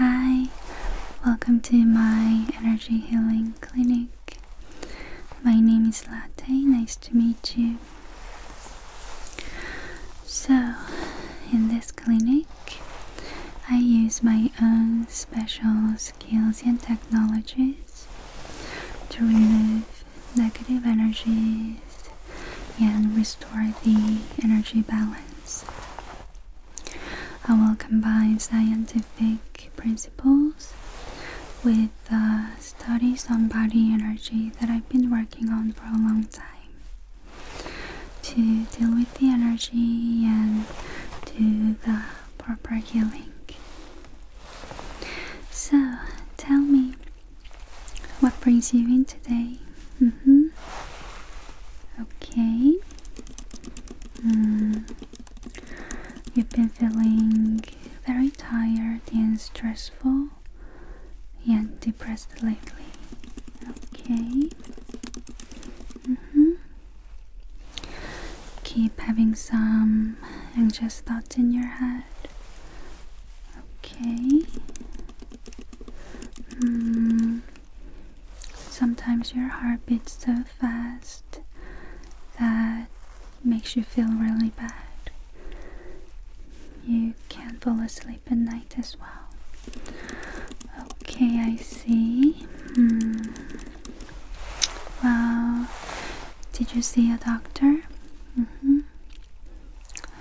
Hi, welcome to my energy healing clinic. My name is Latte, nice to meet you. So, in this clinic, I use my own special skills and technologies to remove negative energies and restore the energy balance. I will combine scientific principles with uh, studies on body energy that I've been working on for a long time to deal with the energy and to the uh, proper healing. So, tell me, what brings you in today? Mm hmm. Okay. Mm. You've been feeling very tired and stressful and depressed lately. Okay. Mm hmm. Keep having some anxious thoughts in your head. Okay. Hmm. Sometimes your heart beats so fast that makes you feel really bad. You can't fall asleep at night as well. Okay, I see. Mm. Well, Did you see a doctor? Mm-hmm.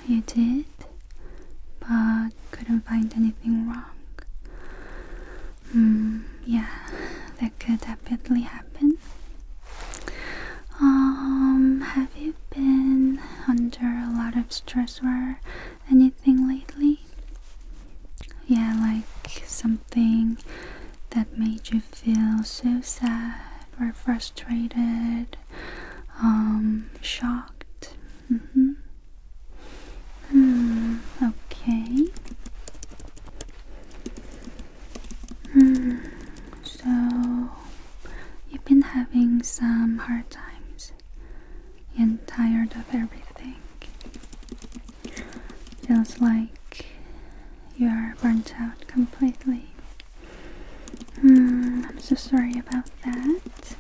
You did, but couldn't find anything wrong. Hmm, yeah, that could definitely happen. Um, have you been under a lot of stress or anything lately? Yeah, like something that made you feel so sad or frustrated, um, shocked. Mm okay. Hmm, so you've been having some hard times and tired of everything. Feels like you're burnt out completely. Hmm, I'm so sorry about that.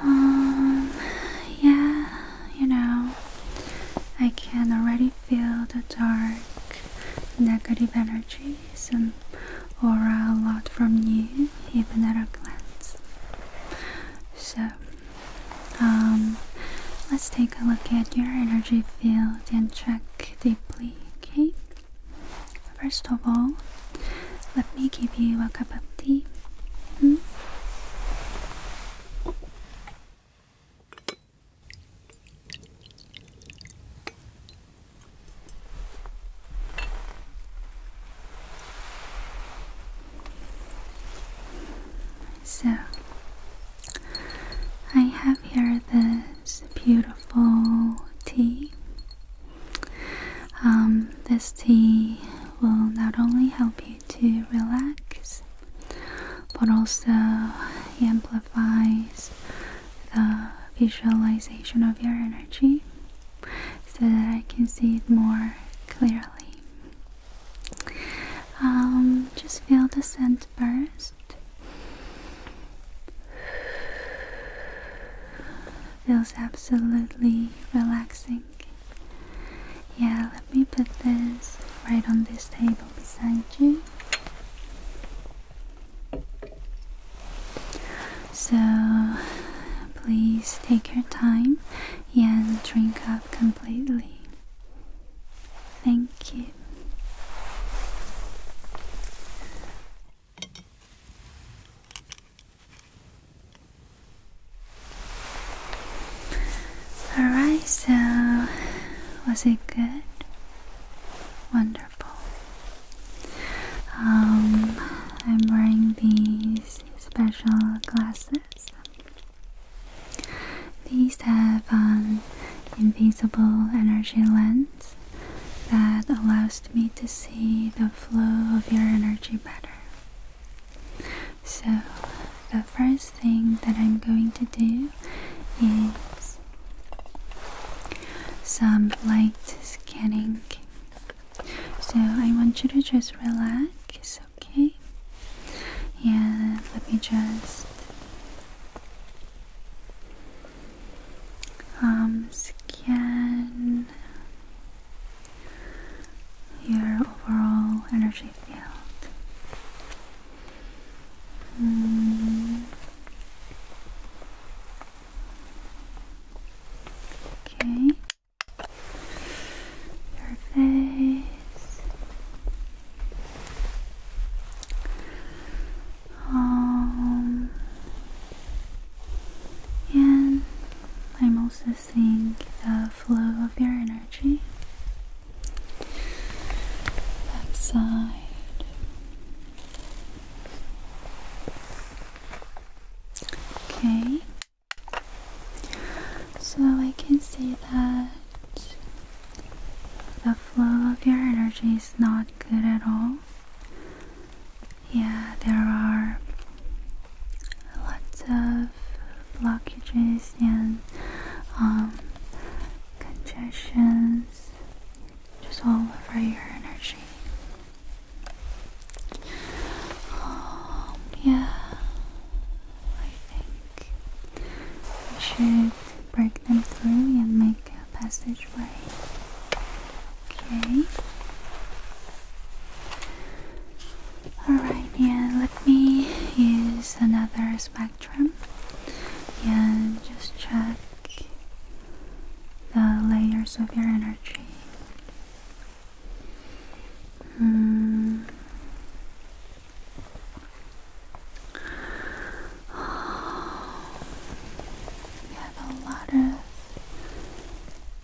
Um, yeah, you know, I can already feel the dark negative energies and aura a lot from you, even at a glance. So, um, let's take a look at your energy field and check deeply, okay? First of all, let me give you a cup of tea. Hmm? So, I have here this beautiful tea. Um, this tea will not only help you to relax, but also amplifies the visualization of your energy so that I can see it more clearly. Um, just feel the scent first. Feels absolutely relaxing. Yeah, let me put this right on this table beside you. So please take your time and drink up completely. Thank you. Alright, so was it good? Wonderful. Um, I'm wearing these special glasses these have an um, invisible energy lens that allows me to see the flow of your energy better. So, the first thing that I'm going to do is some light scanning. So, I want you to just relax okay. And let me just um, scan your overall energy field. Hmm. Okay your face, um, and I'm also seeing the flow of your energy backside. Okay, so I can see that the flow of your energy is not good at all. Yeah, there are lots of blockages and um, congestions just all over your energy. Um, yeah, I think we should break them through and make a passageway. Okay. Alright, yeah, let me use another spectrum and yeah, just check the layers of your energy. Mm we have a lot of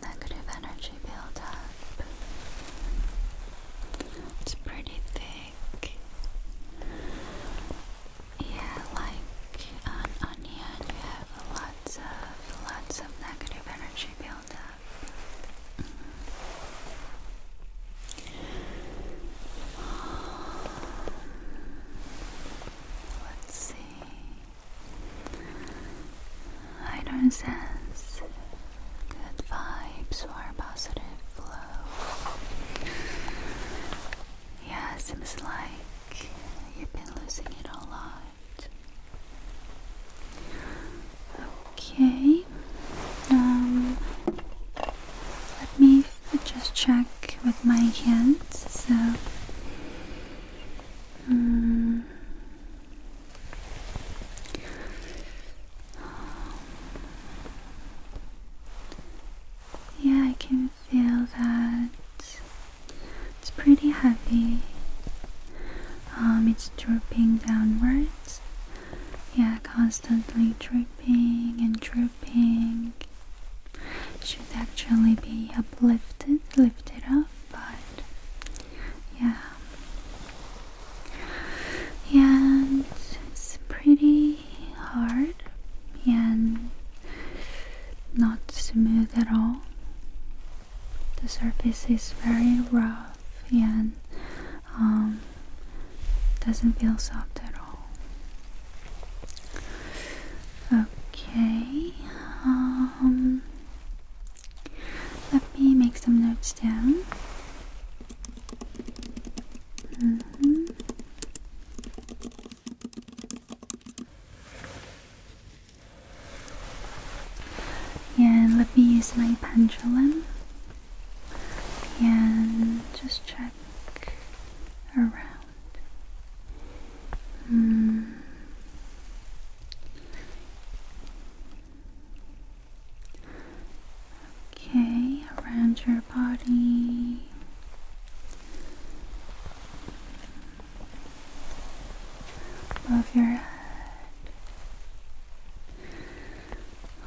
negative energy built up. It's pretty thick. Yeah, like on onion, you have lots of lots of negative energy built up let's see. I don't sense good vibes or positive flow. Yeah, seems like you've been losing it a lot. Okay. Um, let me just check with my hands. So, mm. yeah, I can feel that it's pretty heavy. Um, it's drooping downwards. Yeah, constantly dripping and dripping should actually be uplifted, lifted up, but yeah. And it's pretty hard and not smooth at all. The surface is very rough. Yeah. Um, doesn't feel soft at all. Okay, um, let me make some notes down. Mm And let me use my pendulum and just check around. Hmm. Okay, around your body. Above your head.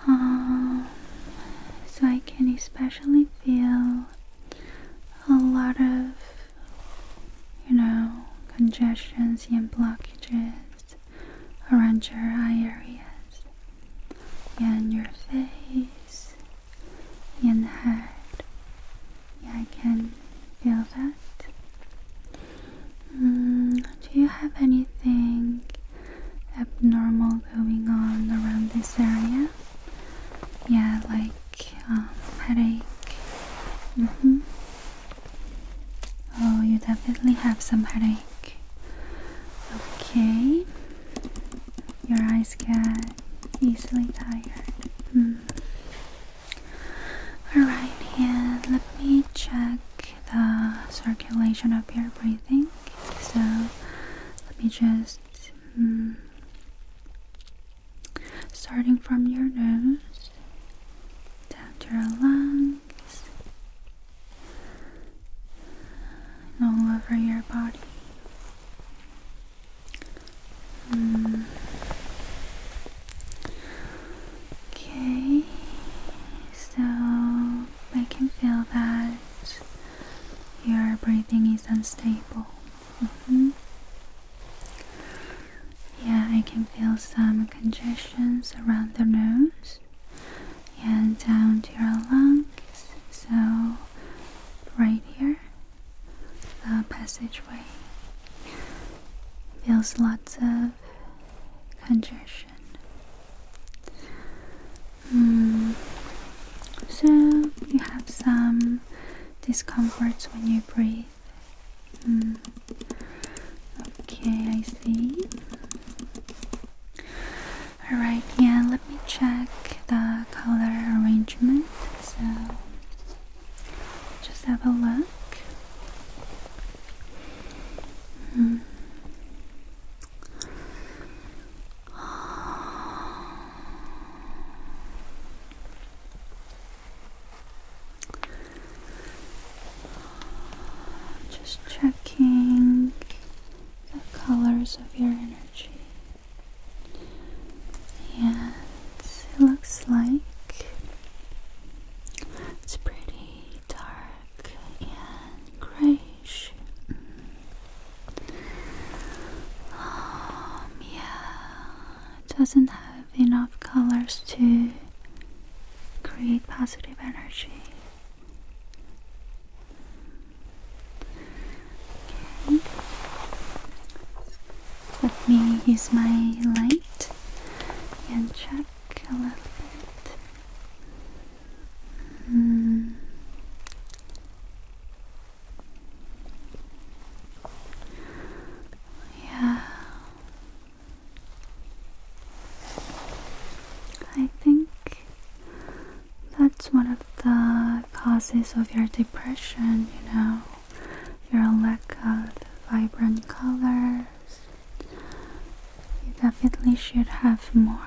Uh, so I can especially feel a lot of, you know, congestions and blockages around your eye areas, and your face, and head. Yeah, I can feel that. Mm, do you have anything abnormal going on around this area? Yeah, like um, headache. Mm-hmm. Oh, you definitely have some headache. Okay. Your eyes get easily tired. Mm. Alright, and let me check the circulation of your breathing. So let me just hmm, starting from your nose down to your lungs all over your body. Hmm. Okay, so I can feel that your breathing is unstable. Mm-hmm. Yeah, I can feel some congestions around the nose and down to your lungs. So, right here, the passageway feels lots of congestion. Hmm. So you have some discomforts when you breathe. Hmm. Okay, I see. Alright, yeah, let me check the color arrangement. So just have a look. Hmm. Just checking the colors of your energy. Yes, it looks like it's pretty dark and grayish. Um, yeah, doesn't have enough colors to create positive energy. Let me use my light and check a little bit. Hmm. Yeah. I think that's one of the causes of your depression, you know, your lack of vibrant colors, you definitely should have more.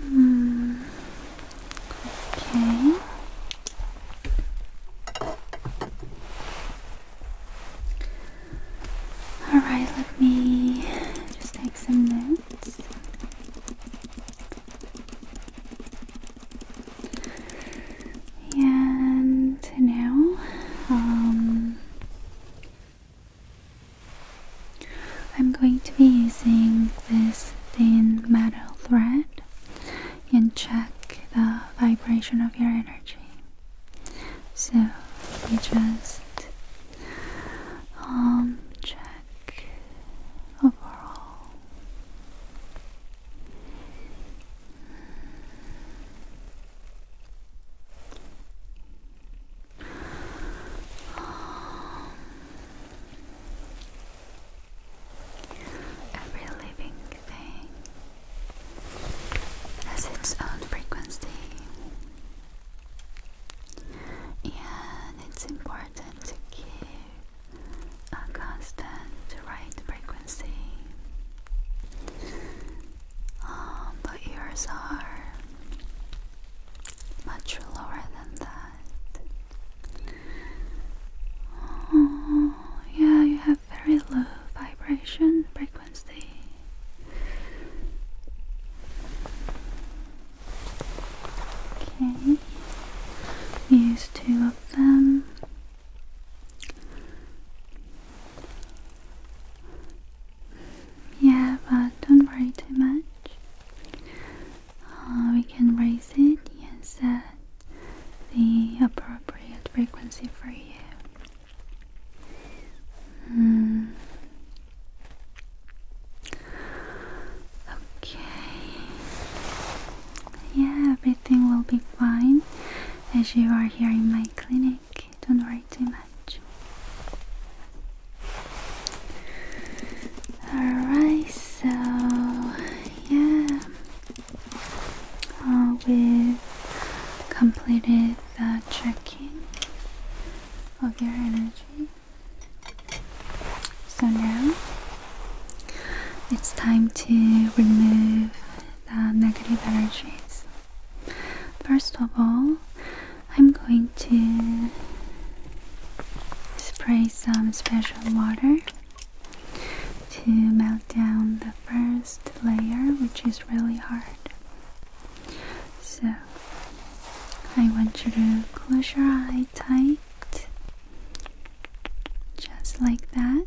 Hmm, okay. Alright, let me just take some notes. And now, um, I'm going to be using this thin metal thread and check the vibration of your energy. So we just um check overall. Um, every living thing has its own frequency, and it's important to keep a constant right frequency. Um, but yours are much lower than that. Oh, yeah, you have very low vibration frequency. Okay, use two of them. Yeah, but don't worry too much. Uh, we can raise it and set the appropriate frequency for you. Hmm. Okay. Yeah, everything will be fine as you are here in my clinic don't worry too much. Alright, so yeah, uh, we completed the checking of your energy. So now it's time to remove the negative energies. First of all, I'm going to spray some special water to melt down the first layer, which is really hard. So, I want you to close your eye tight, just like that.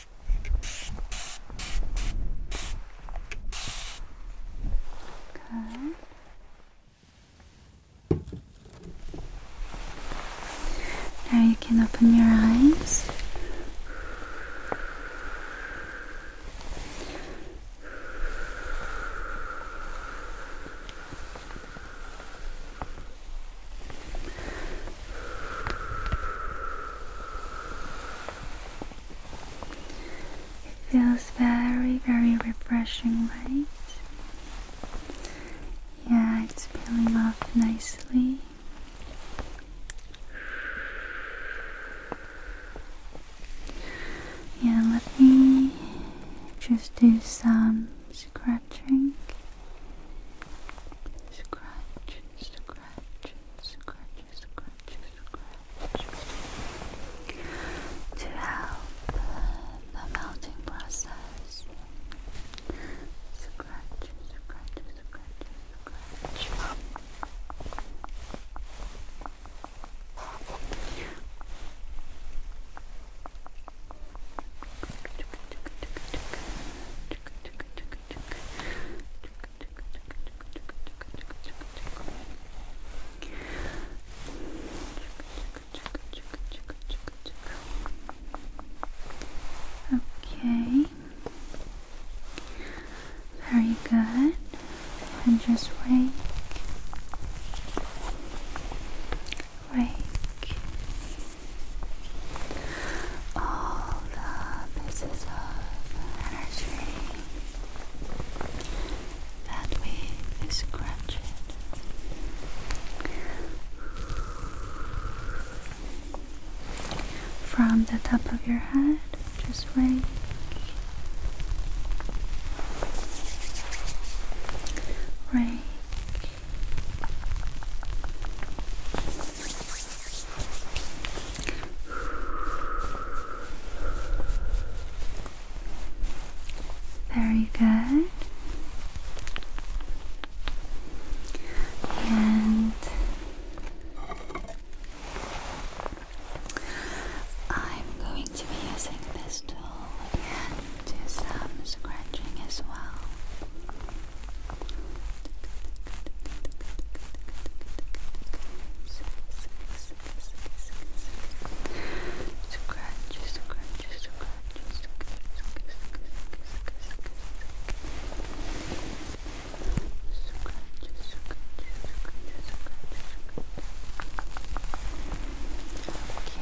Now you can open your eyes. It feels very, very refreshing, right? Yeah, it's peeling off nicely. Yeah, let me just do some scratching. Scratch, scratch, scratch, scratch, scratch to help the melting process. Scratch, scratch, scratch, scratch. Okay. Very good. And just wake. Wake all the pieces of energy that we scratched. From the top of your head, just wait. Rake. Very good. And I'm going to be using this tool again to some scratching as well. Scratch, scratch, scratch,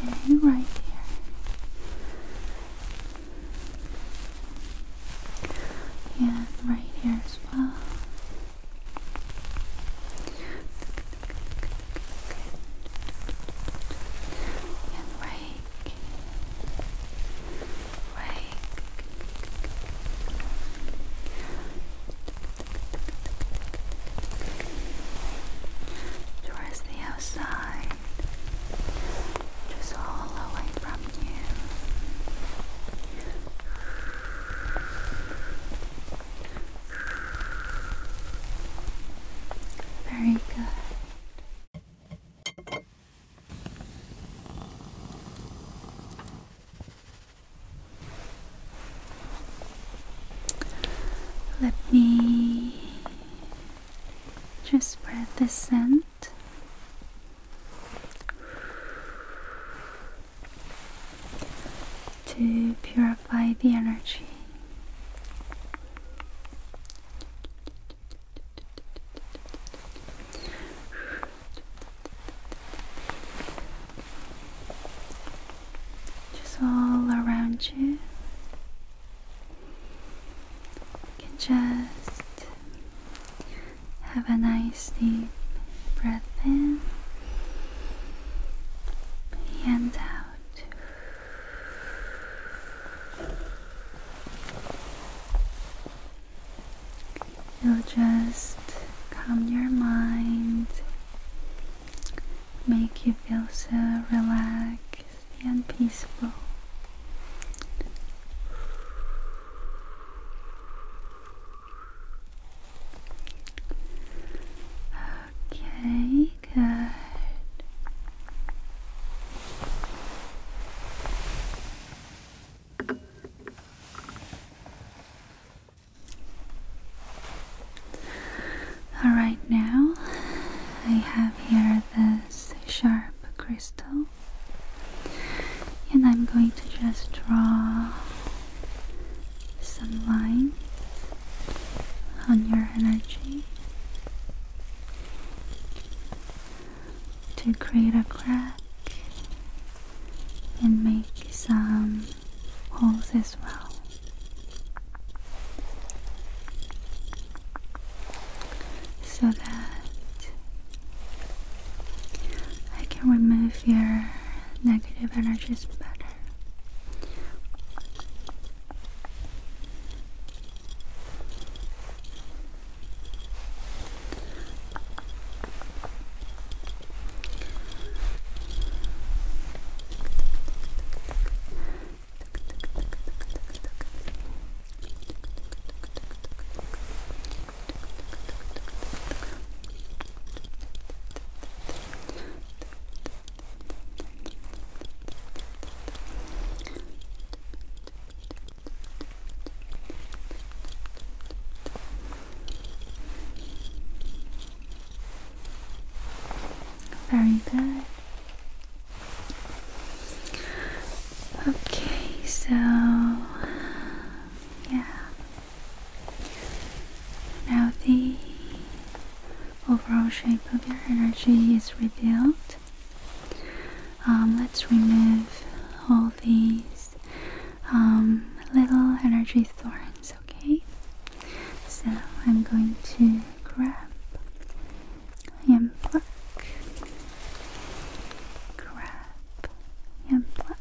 Okay, right here and right here as well. And rake, rake. Towards the outside, just all away from very good. Let me just spread the scent to purify the energy. Just all around you. You can just have a nice deep breath in and out. You'll just calm your mind, make you feel so relaxed and peaceful. Okay, good. All right, now I have here this sharp crystal and I'm going to just draw some lines on your energy to create a crack and make some holes as well so that I can remove your negative energies better. Very good. Okay, so yeah. Now the overall shape of your energy is revealed. Um, let's remove all these um, little energy thorns, okay? So I'm going to grab and pluck, grab, and black.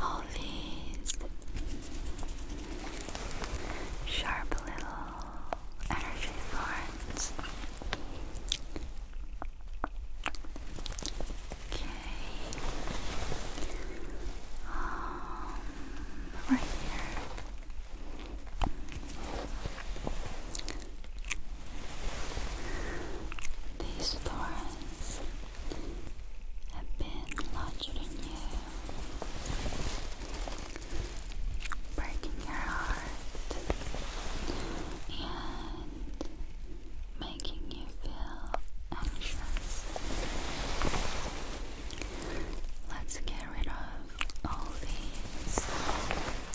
All these sharp little energy thorns. Okay. Um, right here. These thorns have been lodged in you, breaking your heart and making you feel anxious. Let's get rid of all these.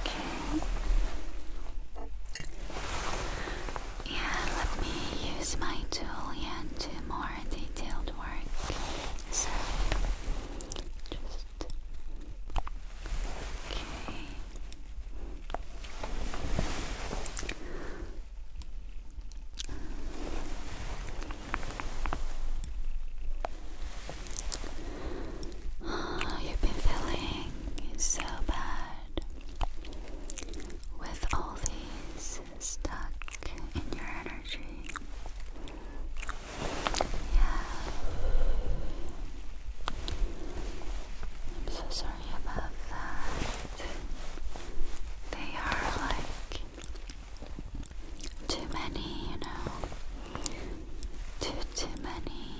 Okay. Yeah, let me use my tool and do more detailed work. So, just. Okay. you've been feeling so bad with all these stuck in your energy. Yeah. I'm so sorry about that. They are like too many, you know. Too, too many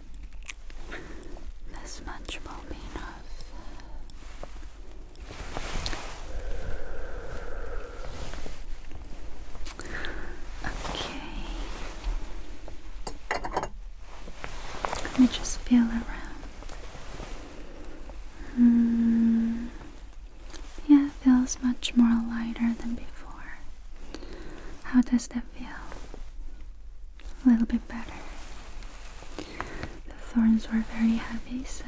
This much will be enough. Okay. Let me just feel around. Hmm. Yeah, it feels much more lighter than before. How does that feel a little bit better. The thorns were very heavy, so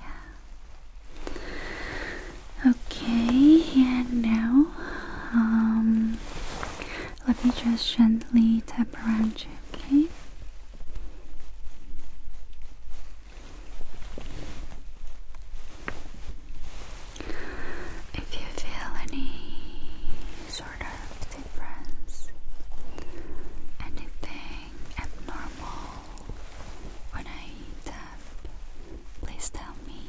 yeah. Okay, and now um, let me just gently tap around you, okay? If you feel any sort of difference, anything abnormal when I tap, please tell me.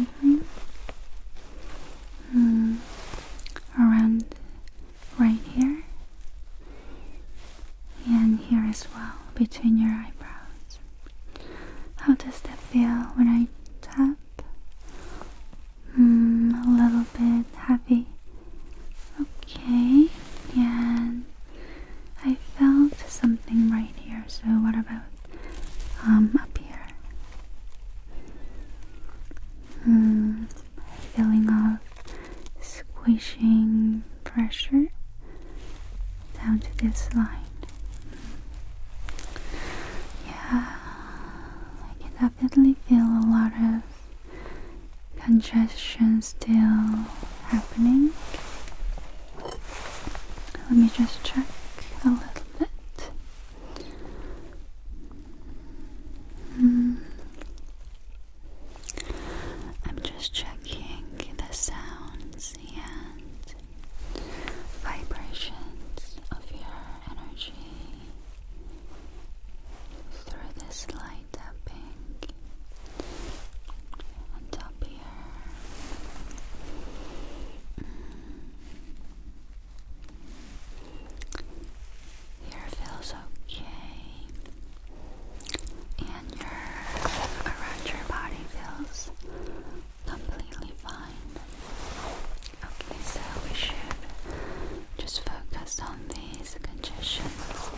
Mm-hmm. Mm -hmm. Around right here and here as well between your eyebrows. How does that feel when I tap? Mm, a little bit heavy. Okay, yeah. I felt something right here, so what about um, up here? Mm, feeling of squishing pressure down to this line. Yeah, I can definitely feel a lot of congestion still happening. Let me just check a little bit. Mm. I'm just checking the sounds and vibrations of your energy through this light tapping on top here. Here feels okay. And your around your body feels completely fine. Okay, so we should just focus on these congestions.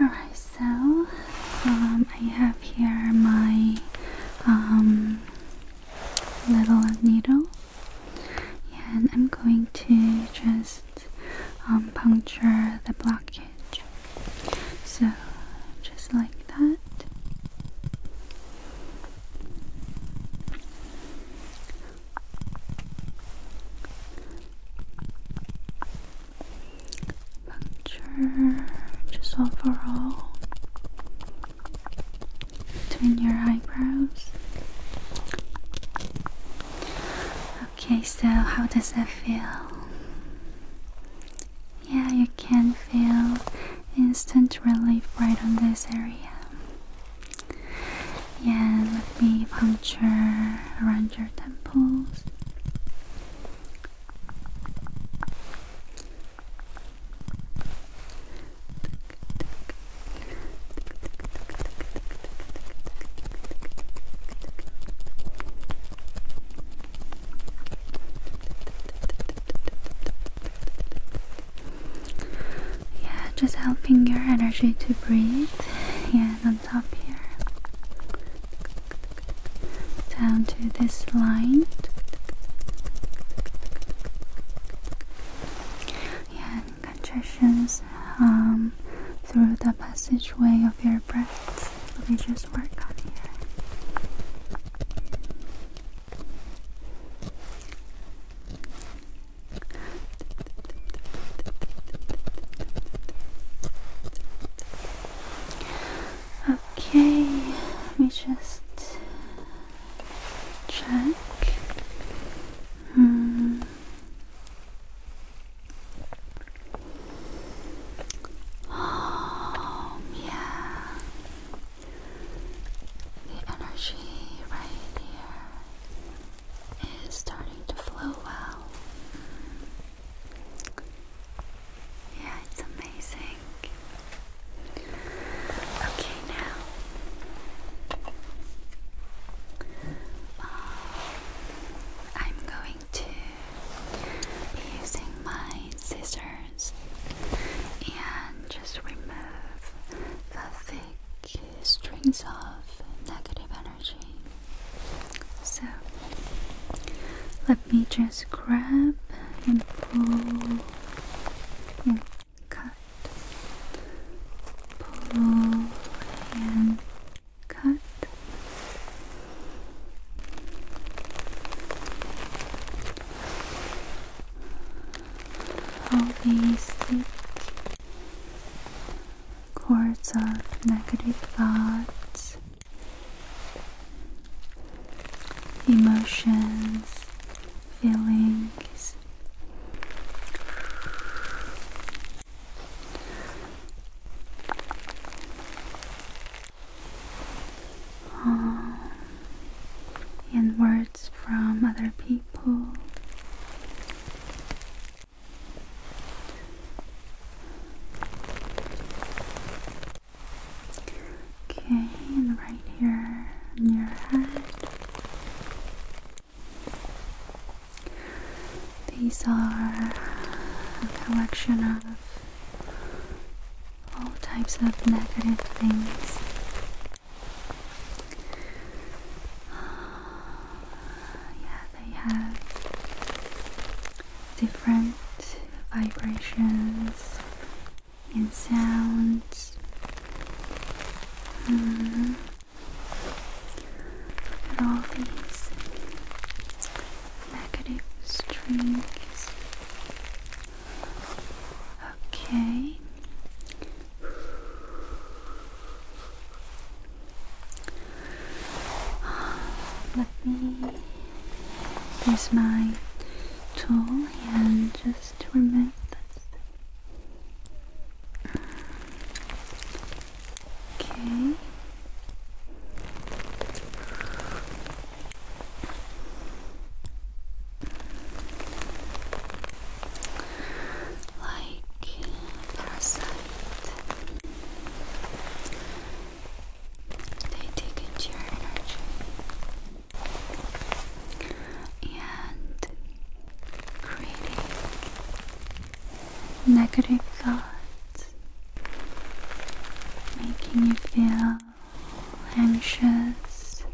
Alright, so um, I have here my um, little needle yeah, and I'm going to just um, puncture the blockage. So, just like that. Puncture just overall between your eyebrows. Okay, so how does that feel? Yeah, you can feel instant relief right on this area. Yeah, let me puncture around your temples. Yeah, just helping your energy to breathe. Yeah, on top here. Down to this line. Yeah, Congestions um, through the passageway of your breath. Let me just work on here. Okay, let me just check. Mm. Oh, yeah. The energy right here is starting to flow well. Yeah, it's amazing. Okay, now. Um, I'm going to be using my scissors and just remove the thick strings of negative energy. So let me just grab and pull cut, pull and cut. All cords of negative thoughts, emotions, feelings this. Oh, words from other people. Okay, right here on your head. These are a collection of all types of negative things. Uh, yeah, they have different vibrations and sounds. -hmm. At all these negative strings. Okay. Let me There's my tool and just remove this. Okay. Like parasite, they take into your energy and creating negative thoughts, making you feel anxious,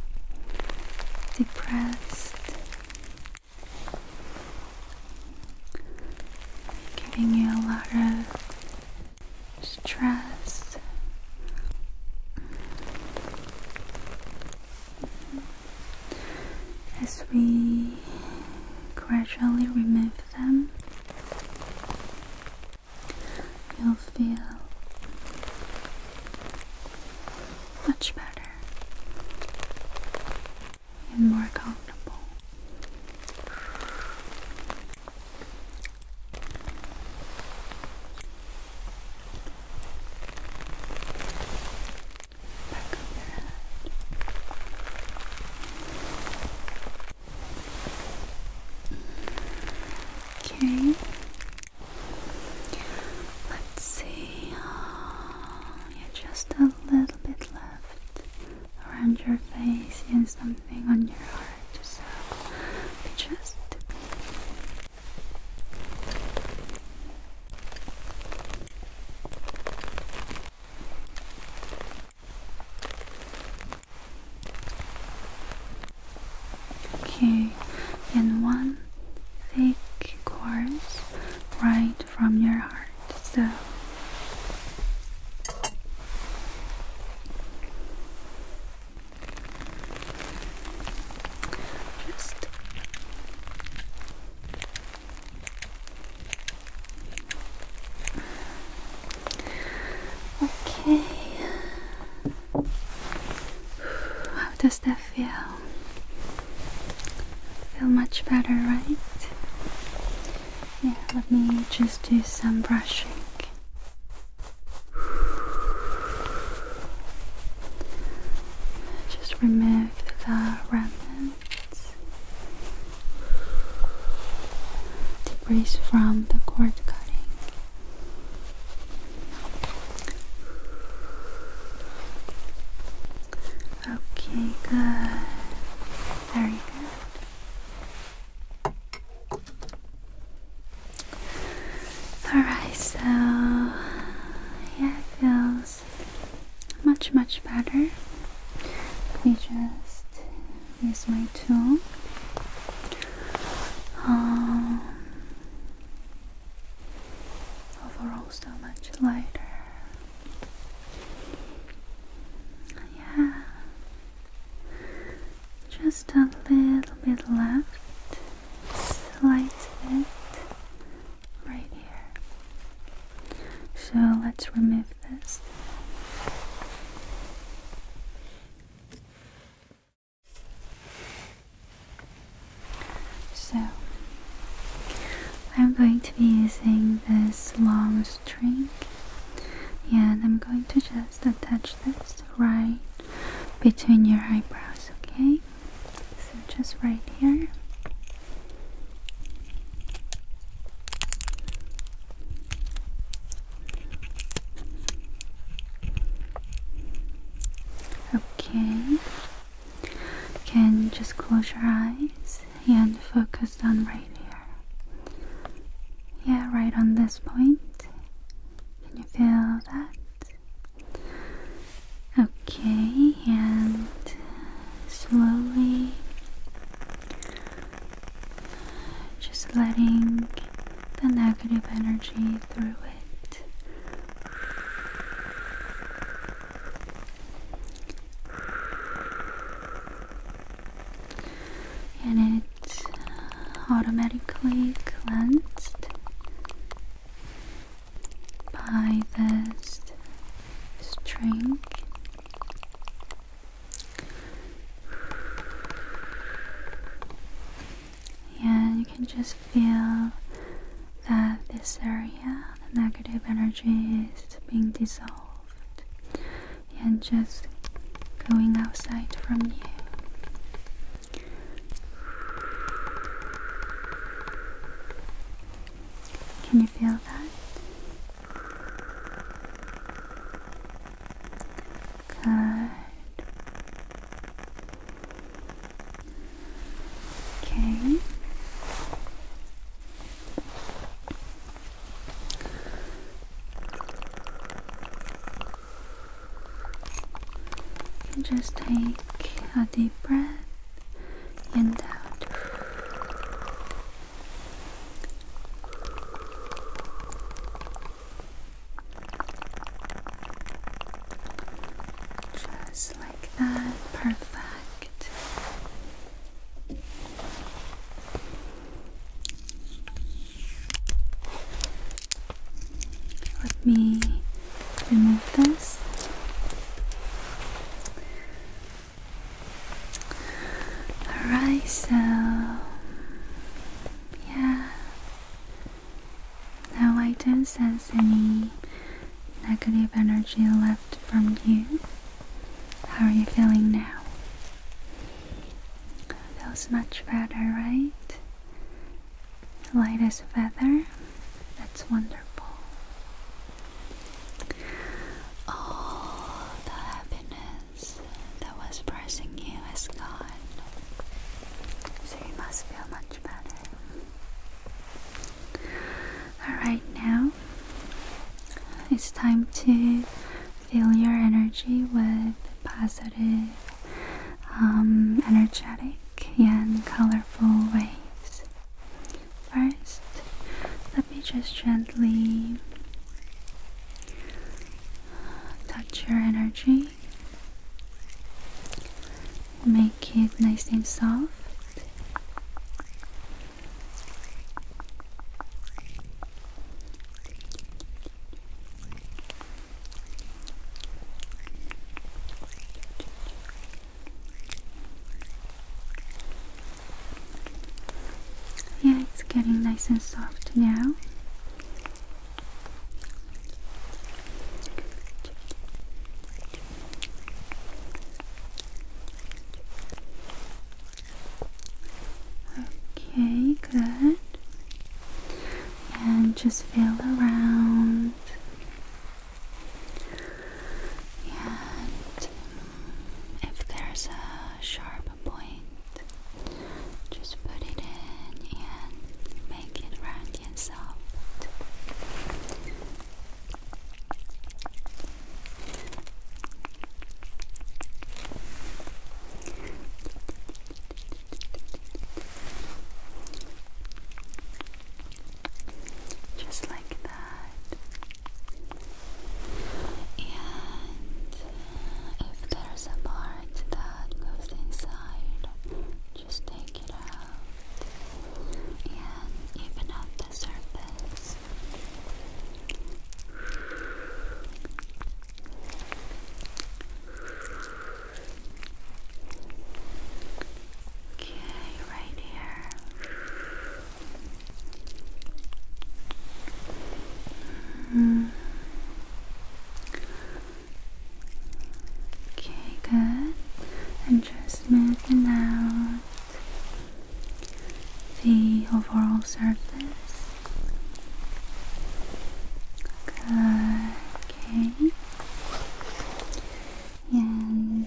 depressed, giving you a lot of stress as we gradually remove them you'll feel much better and more comfortable Okay. Let's see. Uh, just a little bit left around your face and something on your heart. So just Okay, and one thick chorus right from your heart. So just Okay. How does that feel? Feel much better, right? Yeah, let me just do some brushing. Just remove the remnants, debris from the cord cutting. Okay, good. Very good. Alright, so yeah, I feel much much better. Let me just use my tool. Um, overall, so much lighter. Yeah, just a little bit left, slight bit right here. So let's remove this. So I'm going to be using this long string and I'm going to just attach this right between your eyebrows, okay? So just right here. Okay. Can just close your eyes and focus on right here? Yeah, right on this point. Can you feel that? Okay, and slowly just letting the negative energy through it. And it automatically cleansed by this string. And you can just feel that this area, the negative energy, is being dissolved and just going outside from you. Can you feel that? Good. Okay. And just take a deep breath and out. Just like that, perfect. Let me remove this. Alright, so yeah. Now I don't sense any negative energy left from you. How are you feeling now? Feels much better, right? Light as a feather. That's wonderful. All the happiness that was pressing you is gone. So you must feel much better. Alright, now it's time to fill your energy with positive, um, energetic, and colorful waves. First, let me just gently touch your energy, make it nice and soft. Yeah, it's getting nice and soft now. Okay, good. And just feel around. And if there's a sharp point, just put it in and make it round and soft. Just like and if there's a part that goes inside, just take it out and even up the surface. Okay, right here. Mm. Okay, good. And just smoothing out the overall surface. Good, okay. And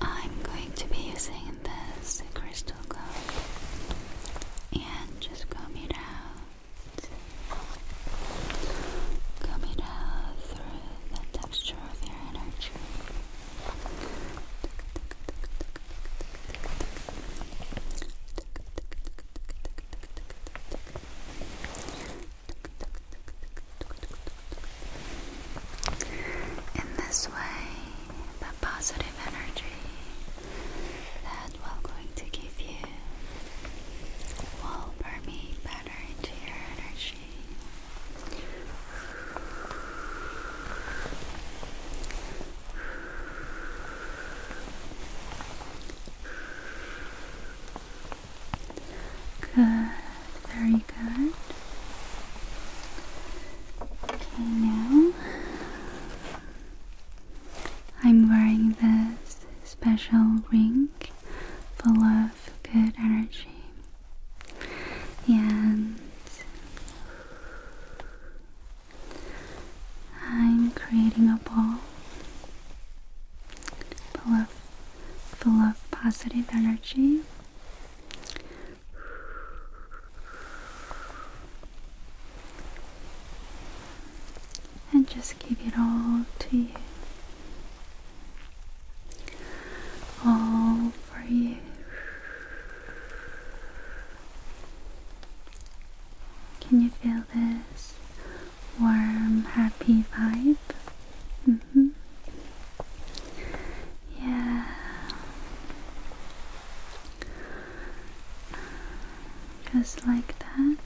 I'm going to be using this crystal comb and just comb it out. Comb it out through the texture of your energy. In this way, the positive energy that we're going to give you will permeate better into your energy. Good, very good. Okay, now I'm wearing this special ring full of good energy. And I'm creating a ball full of full of positive energy. And just give it all to you. All for you. Can you feel this? warm, happy vibe. Mm-hmm. Yeah. Just like that.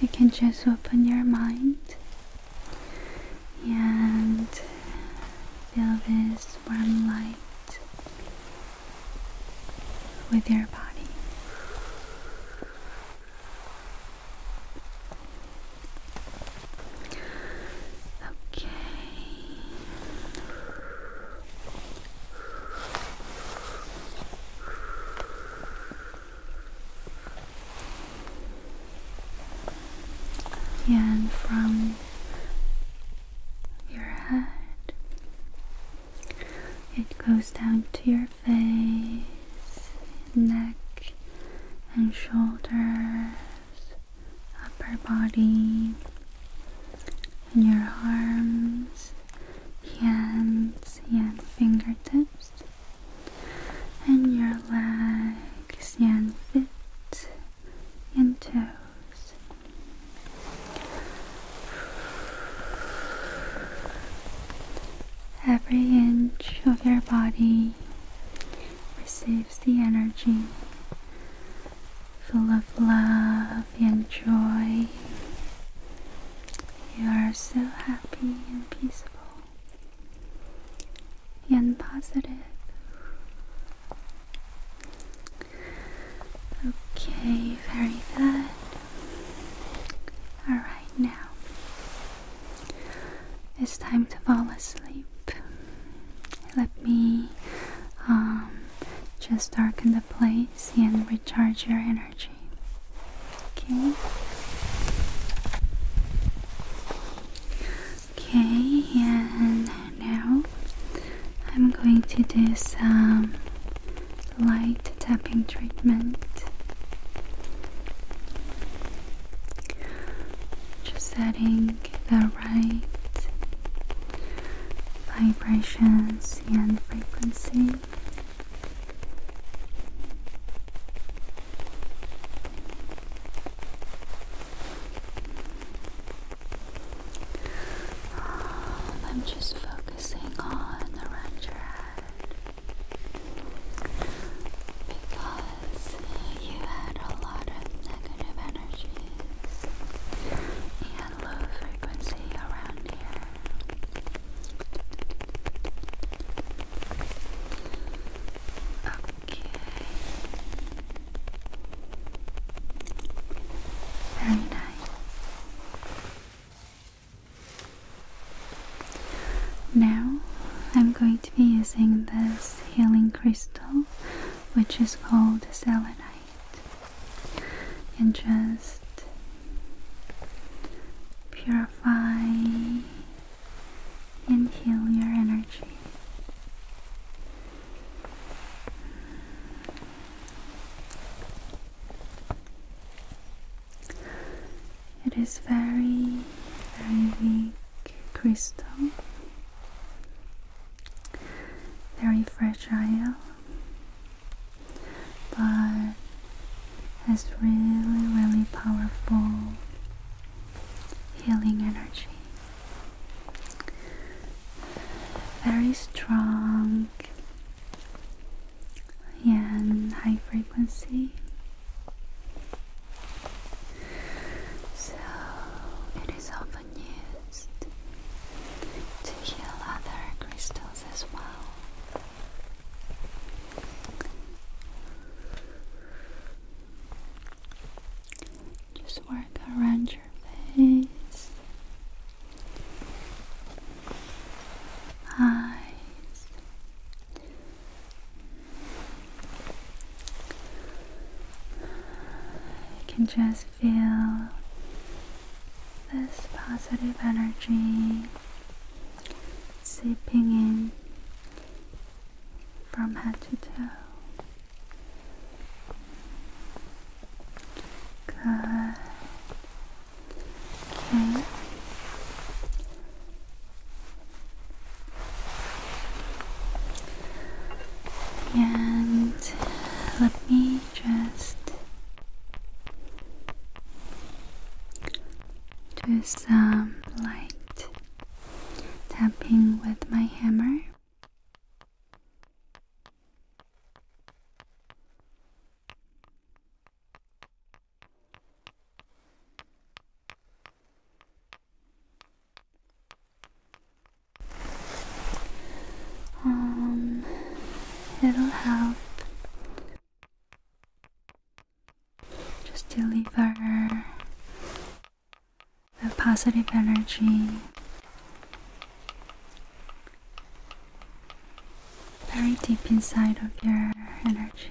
You can just open your mind and feel this warm light with your body. Okay. Yeah, and from your head it goes down to your face, neck and shoulders, upper body, and your arms, hands, and fingertips, and your legs, and feet, and toes. Every inch of your body receives the energy full of love and joy. You are so happy and peaceful and positive. Okay, very good. All right now. It's time to fall asleep. Let me um, just darken the place and recharge your energy. Okay. Okay, and now I'm going to do some light tapping treatment. Just setting the right vibrations and frequency. I'm just focusing on around your head because uh, you had a lot of negative energies and low frequency around here. Okay. Very nice. Now I'm going to be using this healing crystal which is called selenite and just purify and heal your energy. It is very, very weak crystal, very fragile, but has really, really powerful healing energy. Very strong and high frequency. So it is often used to heal other crystals as well. Just work around your face eyes. You can just feel this positive energy seeping in from head to toe. Good. And let me just do some light tapping with my hammer. Um, it'll help just deliver the positive energy. Very deep inside of your energy.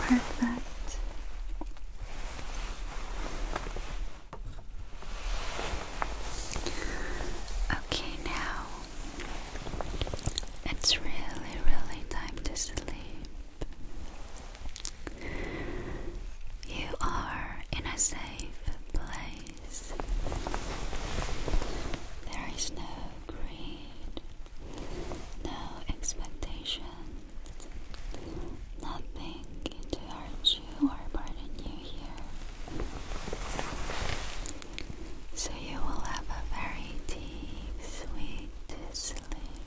Perfect. Okay, now it's really, really time to sleep. You are in a safe place. There is no greed, no expectations, nothing to hurt you or burden you here. So you will have a very deep, sweet sleep.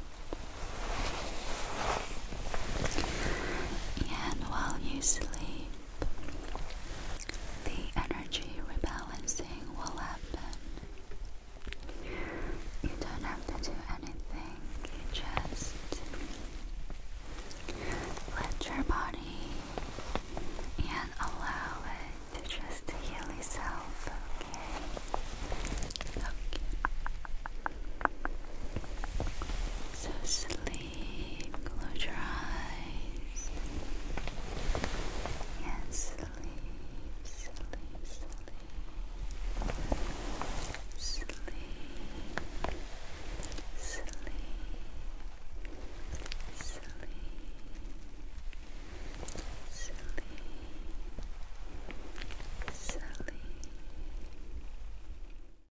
And while you sleep, the energy rebalancing will happen. You don't have to do anything, just let your body and allow it to just heal itself, Okay. So sleep. Close your eyes. Yes, sleep, sleep, sleep. Sleep, sleep, sleep, sleep, sleep.